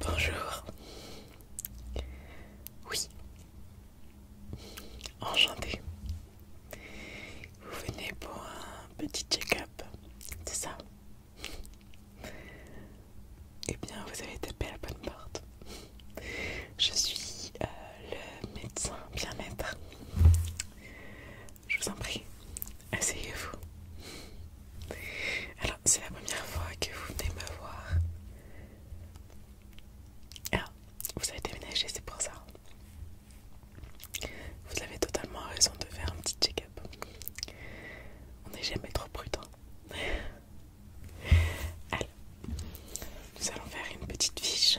Bonjour. Oui. Enchanté. Vous venez pour un petit check-up, c'est ça Eh bien, vous avez tapé la bonne porte. Je suis euh, le médecin bien-être. Je vous en prie, asseyez-vous. Alors, c'est la première fois que vous venez me voir. Alors, vous avez déménagé, c'est pour ça. Vous avez totalement raison de faire un petit check-up. On n'est jamais trop prudent. Alors, nous allons faire une petite fiche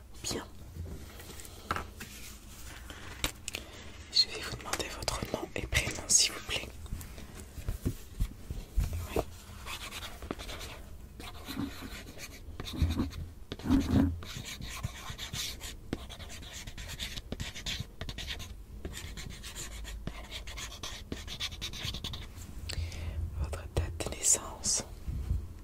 Bien. Je vais vous demander votre nom et prénom, s'il vous plaît. Votre date de naissance.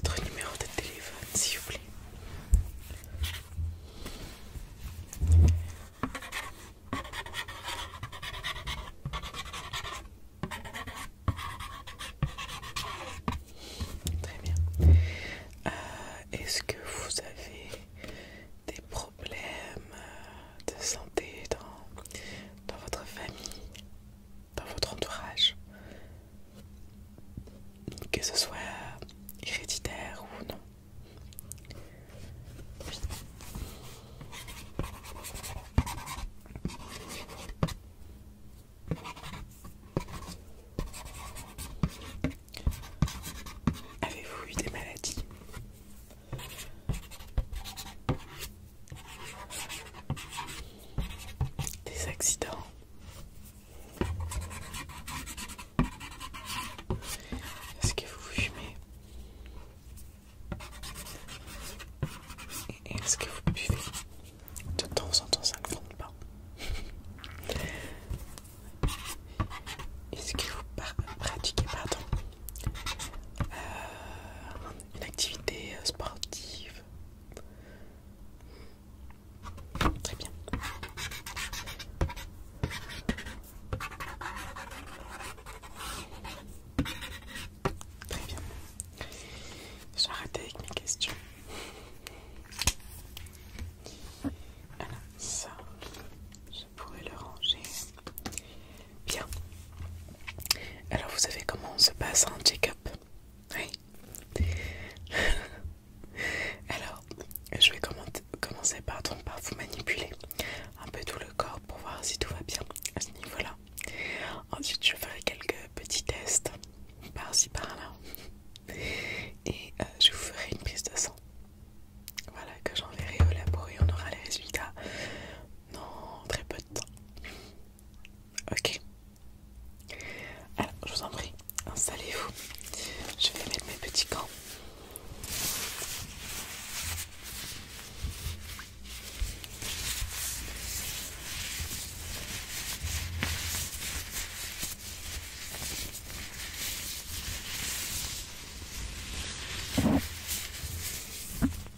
votre numéro de téléphone, s'il vous plaît. Très bien. Euh, est-ce que vous avez des problèmes de santé dans, dans votre famille, dans votre entourage que ce soit héréditaire ou non. Avez-vous eu des maladies des accidents. Est-ce que vous fumez Et est-ce que vous buvez De temps en temps, ça ne compte pas. Est-ce que vous pratiquez pardon, euh, une activité euh, sportive Très bien. Très bien. Je vais arrêter avec mes questions. Voilà, ça, je pourrais le ranger. Bien. Alors, vous savez comment on se passe un check-up oui. Alors, je vais commencer par vous manipuler un peu tout le corps pour voir si tout va bien à ce niveau-là. Ensuite, je ferai quelques petits tests par-ci par-là. Et euh, je vous ferai une prise de sang. Voilà, que j'enverrai au labour et on aura les résultats dans très peu de temps. Ok. Alors, je vous en prie, installez-vous. Je vais mettre mes petits camps.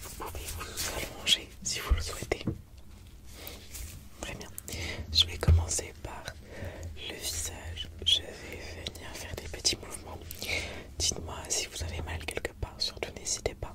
Vous pouvez vous allonger si vous le souhaitez. Très bien. Je vais commencer par le visage. Je vais venir faire des petits mouvements. Dites-moi si vous avez mal quelque part. Surtout n'hésitez pas.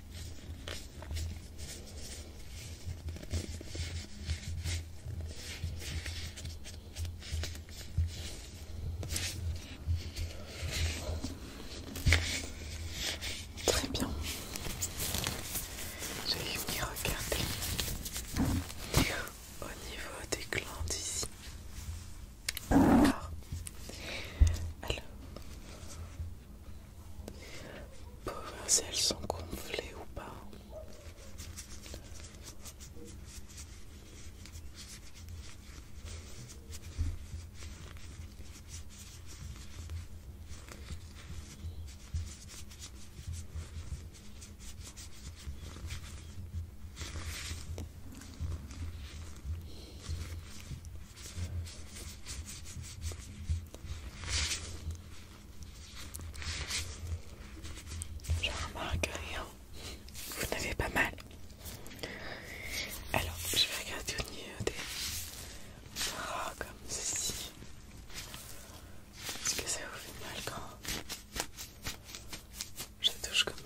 Très bien. Je vais venir regarder au niveau des glandes ici. Alors, pour voir si elles sont gonflées ou pas. Je remarque rien. Vous n'avez pas mal. Alors, je vais regarder au niveau des bras comme ceci. Est-ce que ça vous fait mal quand je touche comme ça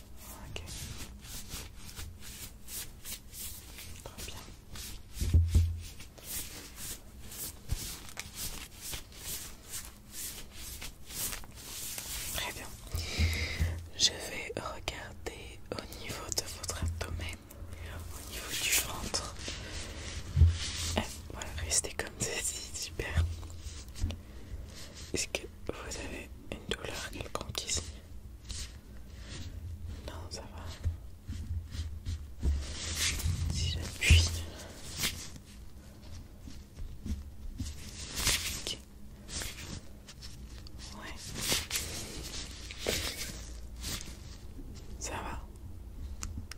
Ok. Très bien. Très bien. Je vais regarder au niveau de votre abdomen, au niveau du ventre. Eh, voilà, restez comme ceci, super. Est-ce que vous avez une douleur quelconque ici Non, ça va. Si j'appuie. Ok. Ouais. Ça va.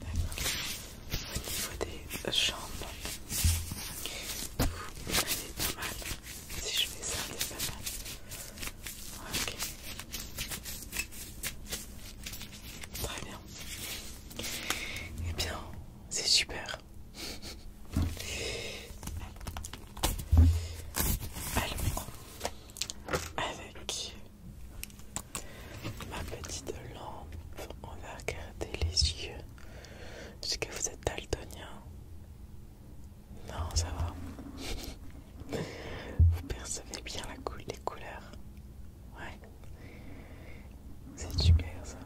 D'accord. Au niveau des jambes. OK. pas mal. Si je fais ça, c'est pas mal. Ok. Très bien. Eh bien, c'est super. Alors, avec ma petite lampe, on va regarder les yeux c'est que vous êtes daltonien. Non, ça va. vous percevez bien la les couleurs. Ouais. C'est super ça.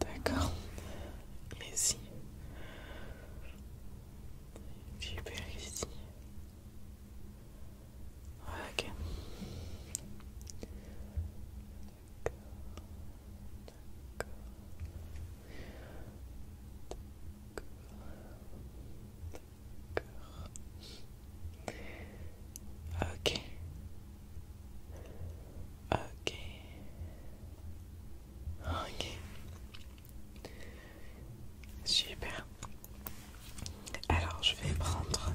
D'accord. Et j'ai Super ici. Ok. Ok. Ok. Ok. Super. Alors je vais prendre.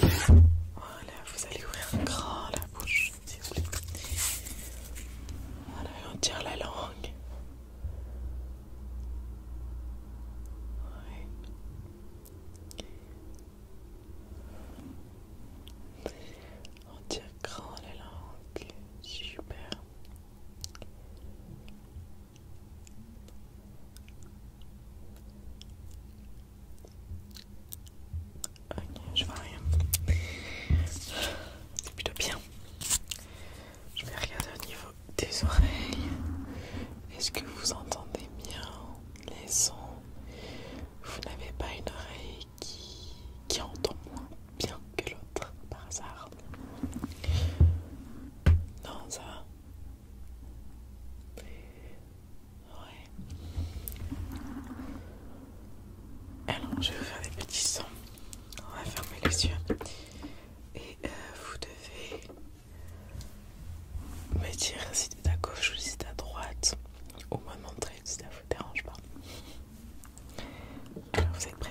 Voilà, vous allez ouvrir grand la bouche, Voilà, on tire la langue. Oui On tire grand la langue. Super. Ok, je vois rien. C'est plutôt bien. Je vais regarder au niveau des oreilles. Est-ce que vous entendez bien les sons Vous n'avez pas une oreille qui, qui entend moins bien que l'autre par hasard Non, ça va alors, je vais faire des petits sons. On va fermer les yeux. Et euh, vous devez me dire si c'est à gauche ou si c'est à droite. Au moment montrer si ça vous dérange pas. Alors, vous êtes prêts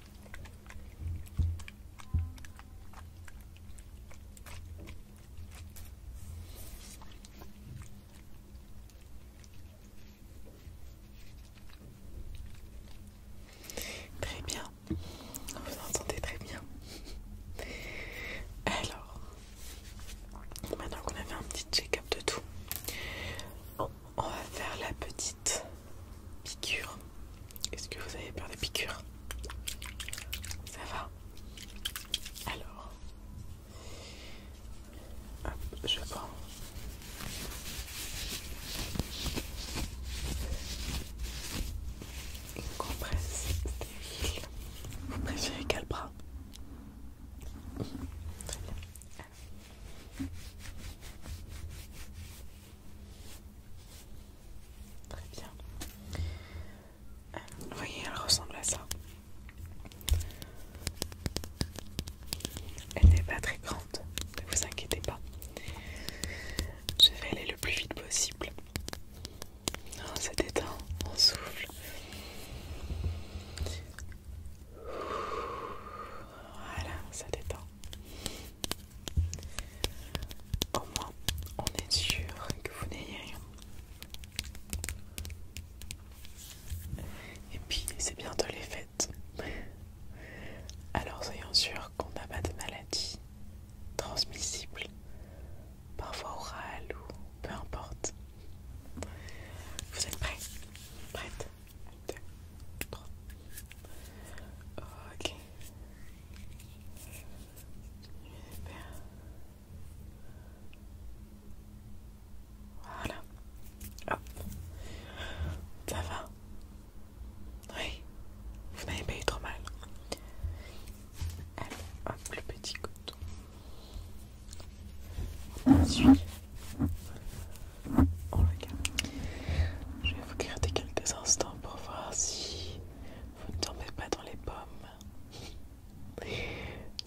Très bien, vous entendez très bien. Alors, maintenant qu'on a fait un petit check-up de tout, on va faire la petite Piqûre. Est-ce que vous avez peur des piqûres Ça va Alors. Hop, je prends. Une compresse stérile. Vous préférez quel bras Très bien. Très bien. Vous euh, voyez, elle ressemble à ça. Elle n'est pas très grande, ne vous inquiétez pas. Je vais aller le plus vite possible. Ça détend, on souffle. Voilà, ça détend. Au moins, on est sûr que vous n'ayez rien. Et puis, c'est bientôt les fêtes. Alors, soyons sûrs qu'on n'a pas de maladie transmissible, parfois orale ou peu importe. Vous êtes prêts Prête deux, trois. Ok. Voilà. Hop. Ça va. Oui. Vous n'avez pas eu trop mal. Allez, plus le petit coton. Oh, Je vais vous garder quelques instants pour voir si vous ne tombez pas dans les pommes.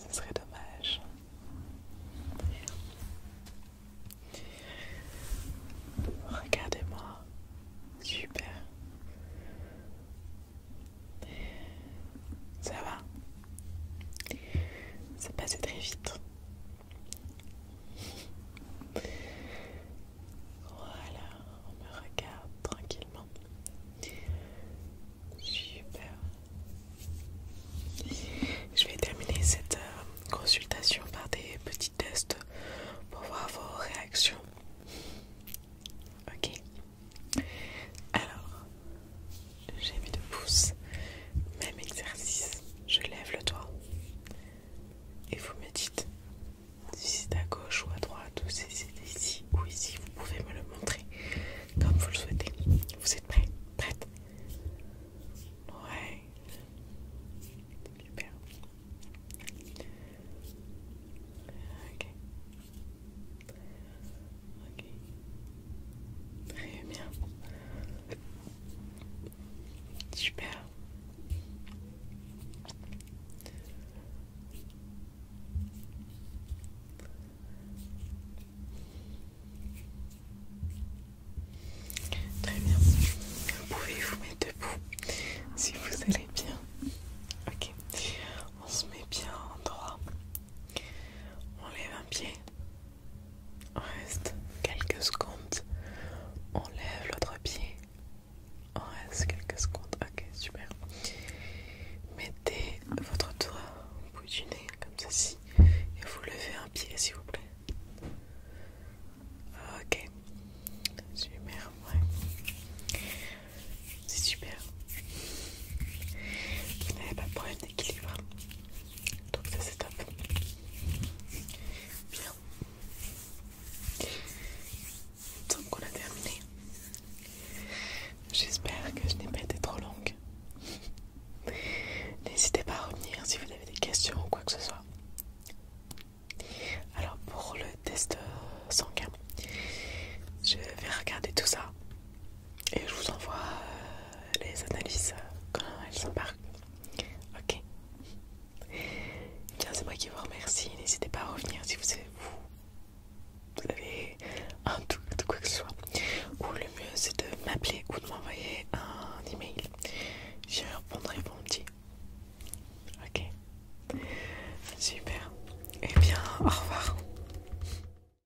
Ce serait dommage. Regardez-moi. Super. Ça va. C'est passé très vite. Voilà, on me regarde tranquillement. Super. Je vais terminer cette euh, consultation par des petits tests pour voir vos réactions. Ok. Alors, j'ai mis deux pouces, Même exercice, je lève le doigt. Et vous me dites si c'est à gauche ou à droite ou si c'est ici ou ici. Vous pouvez me le montrer comme vous le souhaitez. Vous êtes prêts Prête Ouais. Super. Ok. Ok. Très bien. Super. Très bien. Vous pouvez vous mettre debout si vous allez bien. Ok. On se met bien en droit. On lève un pied. Reste quelques secondes. On lève l'autre pied. On reste quelques secondes. Ok, super. Mettez votre doigt au bout du nez, comme ceci. Et vous levez un pied, s'il vous plaît. Ok. Super, ouais. C'est super. Vous n'avez pas de problème d'équilibre. Donc ça c'est top. Bien. Donc on a terminé. J'espère que je n'ai pas été trop longue. N'hésitez pas à revenir si vous avez des questions ou quoi que ce soit. Alors pour le test euh, sanguin, je vais regarder tout ça et je vous envoie euh, les analyses euh, quand elles s'embarquent. Ok. Bien, c'est moi qui vous remercie. N'hésitez pas à revenir si vous avez, un doute de quoi que ce soit. Ou le mieux, c'est de m'appeler ou de m'envoyer un email. J'y répondrai pour mon petit. Ok. Super. Eh bien, au revoir.